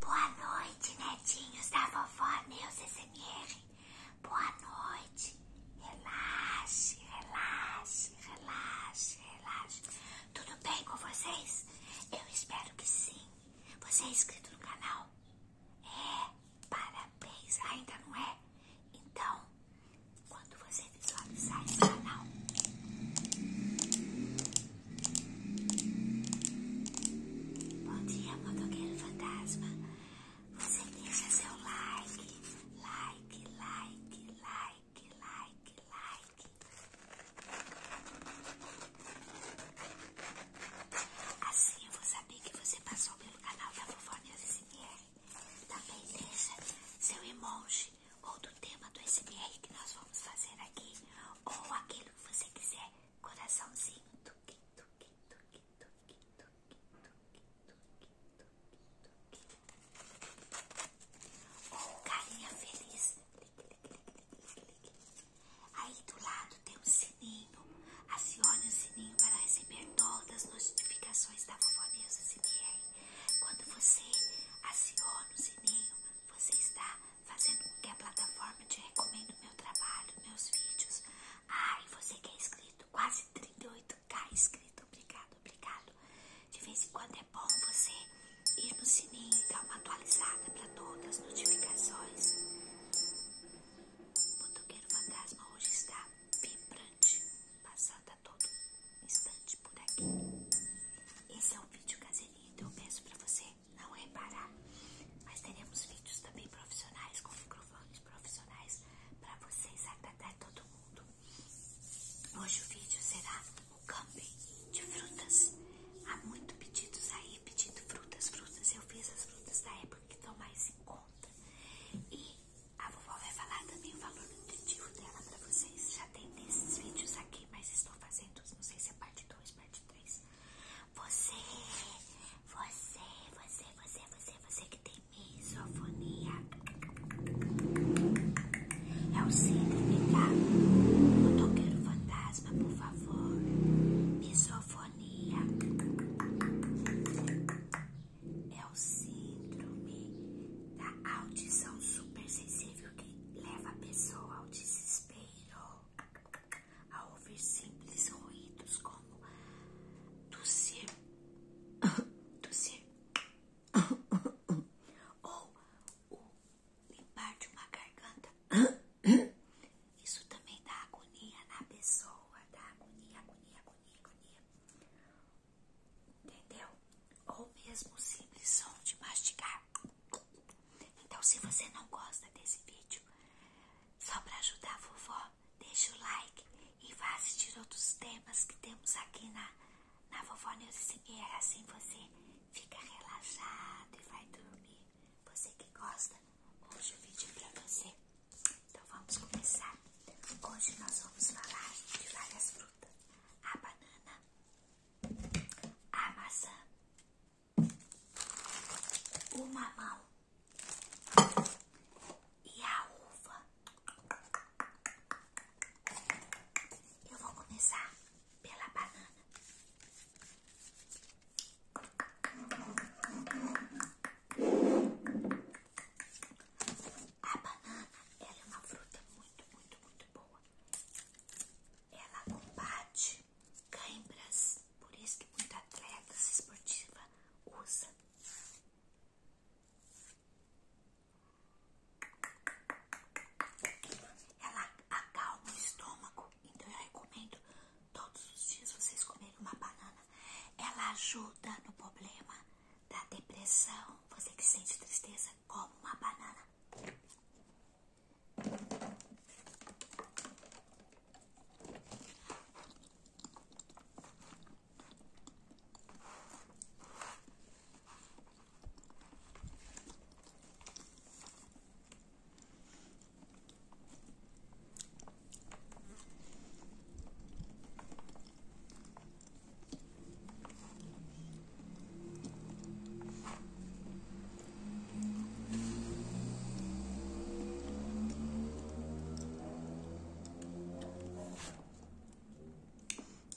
Boa noite, netinhos da vovó Neus SMR. Boa noite. Relaxe, relaxe, relaxe, relaxe. Tudo bem com vocês? Eu espero que sim. Você é inscrito no canal? É, parabéns. Ainda não é? Então, quando você visualizar esse canal, Bom dia, motoqueiro fantasma. Você deixa seu like, like, like, like, like, like. Assim eu vou saber que você passou pelo canal da Vovônia SMR. Também deixa seu emoji ou do tema do SMR que nós vamos fazer aqui, ou aquilo que você quiser é coraçãozinho. Tuque, tuque, tuque, tuque, tuque, tuque, tuque, tuque, tuque. Ou carinha feliz. Aí do lado tem um sininho. Acione o sininho para receber todas as notificações da vovó Neuza CBR. Quando você aciona o sininho, você está fazendo com que a plataforma te recomenda o meu trabalho, meus vídeos. Ai, você que é inscrito, quase 38k inscrito, obrigado, obrigado. De vez em quando é bom você ir no sininho e dar uma atualizada para todas as notificações. O motoqueiro fantasma hoje está vibrante, passando a todo instante por aqui. Esse é o vídeo caseirinho, então eu peço para você não reparar. É mas teremos vídeos também profissionais, com microfones profissionais, para vocês agradar todo mundo. Hoje o vídeo será o camping de frutas. Há muito pedidos aí pedindo frutas, frutas. Eu fiz as frutas da época que estão mais em conta. E a vovó vai falar também o valor nutritivo dela para vocês. Já tem desses vídeos aqui, mas estou fazendo, não sei se é parte 2. Você, você, você, você, você, você que tem misofonia. É o síndrome da Eu não quero fantasma, por favor. Misofonia. É o síndrome da audição super sensível que leva a pessoa ao desespero primeiro a ouvir simples ruídos como tossir, tossir ou limpar de uma garganta. Isso também dá agonia na pessoa, dá agonia, agonia, agonia, agonia. Entendeu? Ou mesmo o simples som de mastigar. Então, se você não gosta desse vídeo, só para ajudar a vovó, deixa o like e vá assistir outros temas que temos aqui na, na vovó Neuza é Assim você fica relaxado e vai dormir. Você que gosta, hoje o vídeo é para você. Então, vamos começar. Hoje nós vamos falar de várias frutas. A banana, a maçã, o mamão e a uva. Eu vou começar pela banana. A banana é uma fruta muito, muito, muito boa. Ela combate câimbras, por isso que muita atleta esportiva usa. Ela acalma o estômago, então eu recomendo todos os dias vocês comerem uma banana. Ela ajuda no problema da depressão, você que sente tristeza, como uma banana.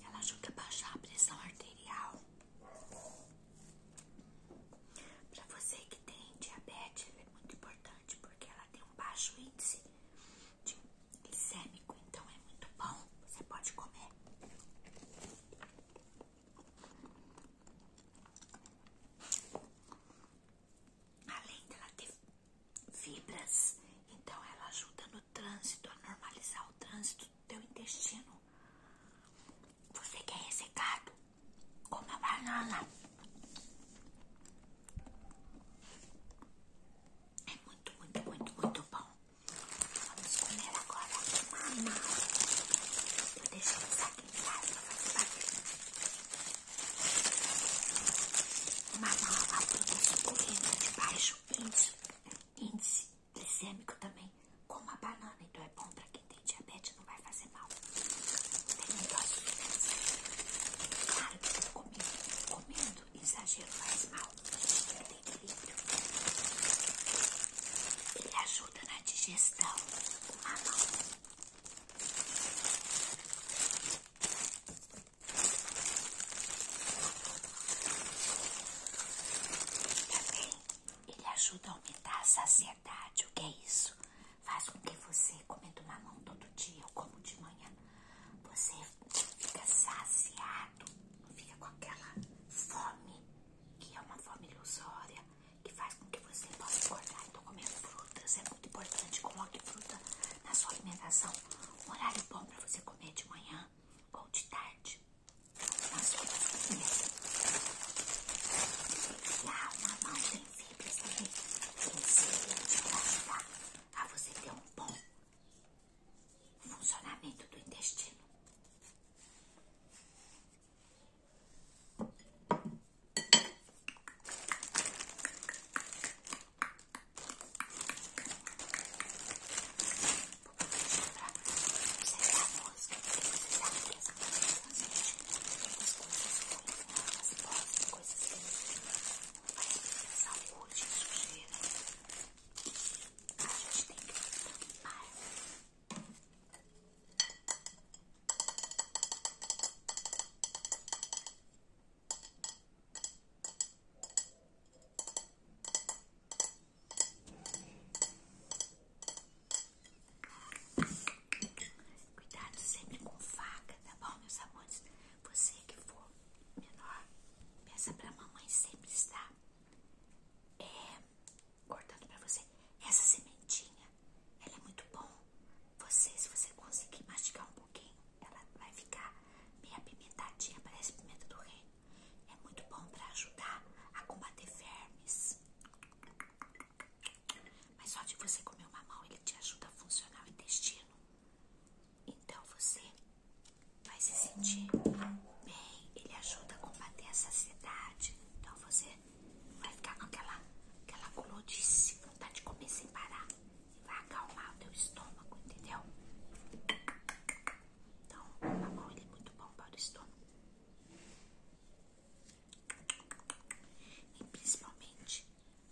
Ela ajuda a baixar a pressão arterial. Para você que tem diabetes, ela é muito importante porque ela tem um baixo índice de glicêmico, então é muito bom. Você pode comer. Além dela ter fibras, então ela ajuda no trânsito, a normalizar o trânsito do teu intestino. Você quer é ressecado? Coma banana. É muito, muito, muito, muito bom. Vamos comer agora mamão. Vou deixar isso aqui em casa pra fazer barulho. Mamão é de baixo índice, índice glicêmico também, com uma banana. Então é bom pra quem tem diabetes, não vai fazer mal. Tem um doce de Claro que eu tô comendo, comendo cuidado, exagero faz mal. Ele tem equilíbrio. Ele ajuda na digestão. O mamão. Também ele ajuda a aumentar a saciedade. O que é isso? Faz com que você comendo mamão todo dia ou como de manhã. Você fica saciado fica com aquela fome, que é uma fome ilusória, que faz com que você possa acordar Então, comer frutas é muito importante. Coloque fruta na sua alimentação. Um horário bom para você comer de manhã ou de tarde. Na sua comida. Lá, uma mão tem fibras também. Tem fibras para ajudar a você ter um bom funcionamento do intestino. Coisas que não vai pensar hoje, sujeira tem que tampar. Cuidado sempre com faca, tá bom, meus amores? Você que for menor, peça pra mamãe sempre estar é, cortando pra você. Essa sementinha, ela é muito bom. Você, se você conseguir mastigar um pouquinho, ela vai ficar meio apimentadinha, parece pimenta do reino. É muito bom pra ajudar a combater vermes. Mas só de você comer o mamão, ele te ajuda a funcionar o intestino. Então você vai se sentir bem. Ele ajuda a combater a saciedade. Então você vai ficar com aquela, aquela gulodice, vontade de comer sem parar. E vai acalmar o teu estômago, entendeu? Então tá o mamão ele é muito bom para o estômago. E principalmente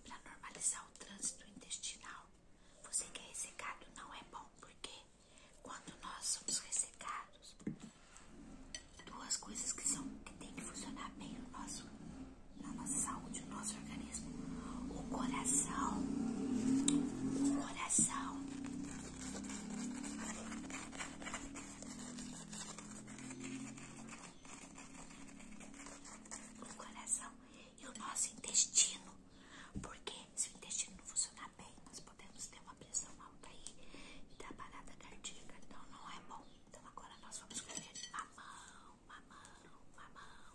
para normalizar o trânsito intestinal você que é ressecado não é bom, porque quando nós somos ressecados, duas coisas que são que tem que funcionar bem no nosso, na nossa saúde, no nosso organismo, o coração, o coração. O coração e o nosso intestino. Porque se o intestino não funcionar bem, nós podemos ter uma pressão alta aí e dar parada cardíaca. Então não é bom. Então agora nós vamos comer mamão, mamão, mamão.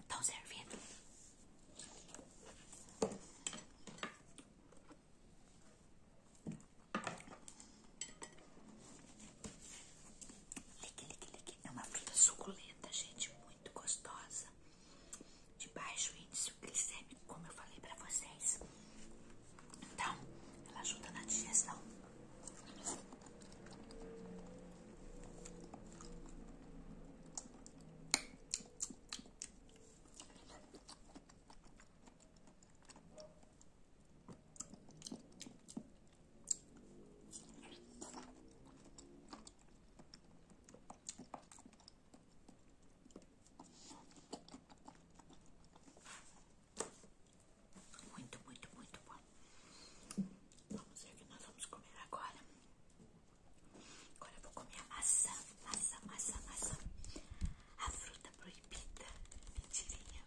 Estão servindo. Lique, lique, lique. É uma fruta suculenta, gente, muito gostosa de baixo índice glicêmico, como eu falei pra vocês. Então, ela ajuda na digestão. Muito, muito, muito bom. Vamos ver o que nós vamos comer agora. Agora eu vou comer a maçã, maçã, maçã, maçã. A fruta proibida, mentirinha.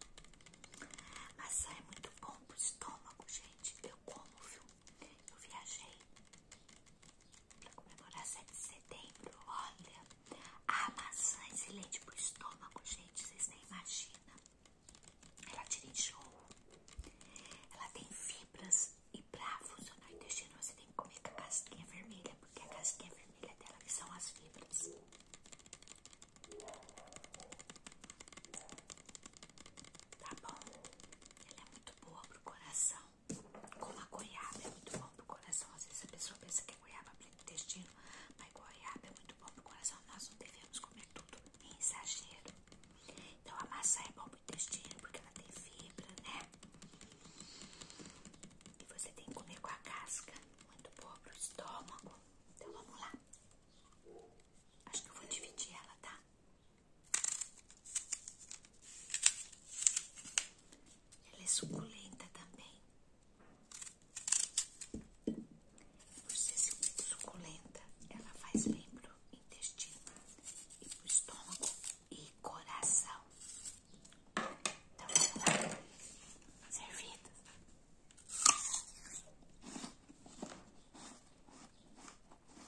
Maçã é muito bom pro estômago, gente. Eu como, viu? Eu viajei para comemorar 7 de setembro. Olha, a maçã é excelente pro estômago, gente. Vocês nem imaginam. Ela tira enjoo. Ela tem fibras e pra funcionar o intestino você tem que comer com a casquinha vermelha, porque a casquinha vermelha dela que são as fibras. Tá bom? Ela é muito boa pro coração como a goiaba é muito bom para o coração. Às vezes a pessoa pensa que a é goiaba é o intestino, mas goiaba é muito bom para o coração. Nós não devemos comer tudo em exagero. Então a maçã é bom para o intestino porque ela tem fibra, né? E você tem que comer com a casca, muito bom para o estômago. Então vamos lá. Acho que eu vou dividir ela, tá? Ela é suculenta também. Por ser suculenta, ela faz bem pro intestino estômago e coração. Então, vamos Servido.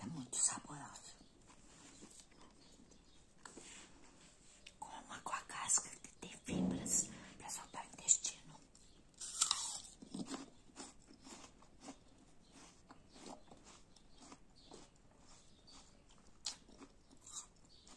É muito saboroso. Coma com a casca que tem fibras para soltar o intestino.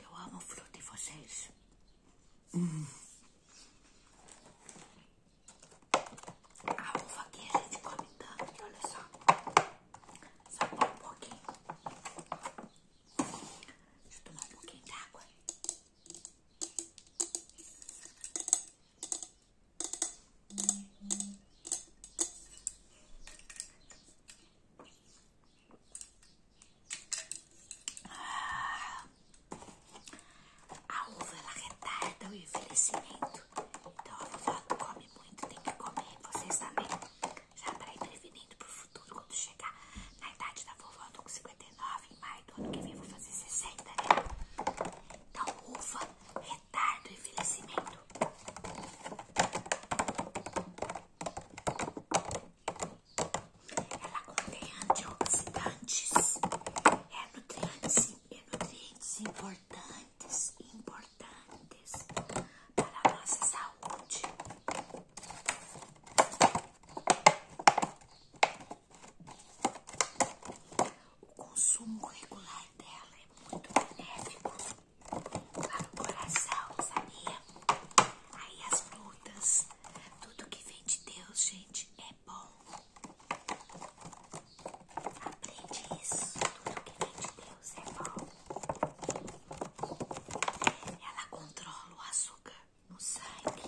Eu amo o fruto de vocês. Hum. A uva aqui a gente come tanto, olha só. Só um pouquinho. Deixa eu tomar um pouquinho d'água. Ah, a uva ela retarda o envelhecimento. Então a vovó come muito, tem que comer, vocês também já pré para o futuro, quando chegar na idade da vovó, eu tô com 59, em maio do ano que vem vou fazer 60, né? Então, uva, o envelhecimento. Ela contém antioxidantes, é nutrientes, é nutrientes importantes, importantes para a nossa saúde. O consumo regular dela é muito benéfico para o coração, sabia? Aí as frutas, tudo que vem de Deus, gente, é bom. Aprende isso, tudo que vem de Deus é bom. Ela controla o açúcar no sangue.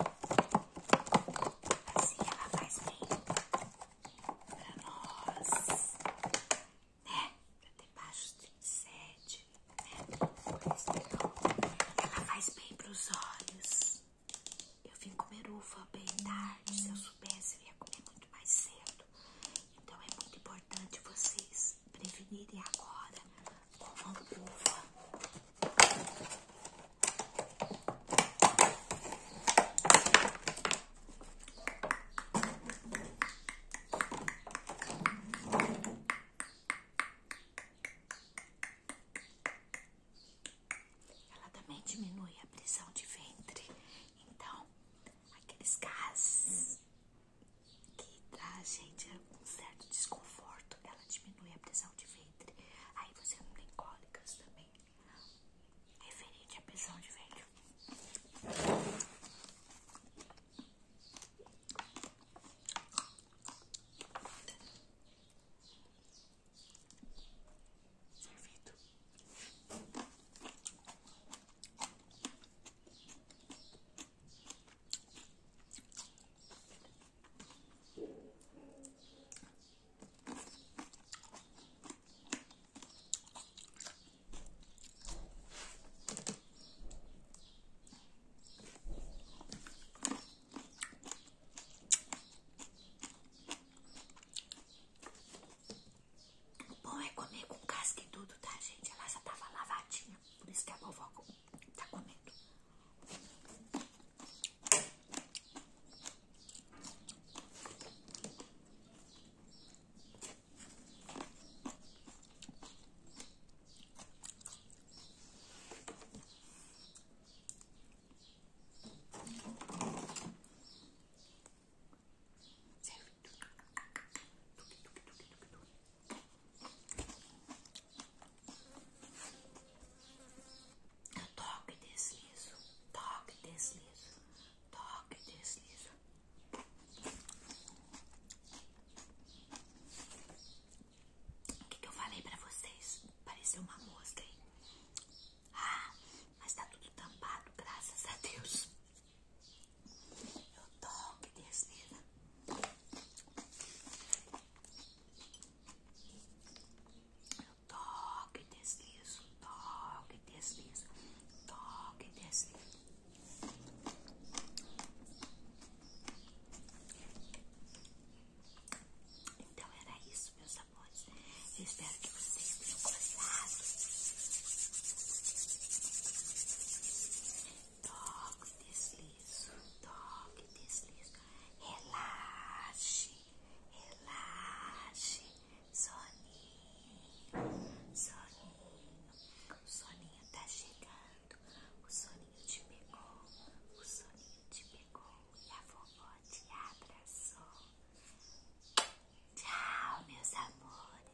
Assim ela faz bem pra nós, né? Pra ter baixos 37, né? É ela faz bem pros olhos. Eu vim comer uva bem tarde. Se eu soubesse, eu ia comer muito mais cedo. Então é muito importante vocês prevenir e agora com uma luva. Ela também diminui a pressão de ventre, então aqueles gases que tá, traz, gente, é um certo desconforto. Ela diminui a pressão de ventre. Aí você não tem cólicas também. Referente à pressão de ventre. Servido. O bom é comer com casca tudo, tá, gente? Ela já tava lavadinha. Por isso que a vovó está comendo. Eu toco e deslizo, toco e deslizo, toco e deslizo. O que, eu falei pra vocês? Pareceu uma mosca, aí. Ah, mas tá tudo tampado, graças a Deus. Eu toque desliza. Eu toque deslizo, toque deslizo, toque deslizo. Então era isso, meus amores. espero que vocês tenham gostado toque, deslizo, toque, deslizo. Relaxe, relaxe, soninho, soninho. O soninho tá chegando, o soninho te pegou, o soninho te pegou e a vovó te abraçou. Tchau, meus amores.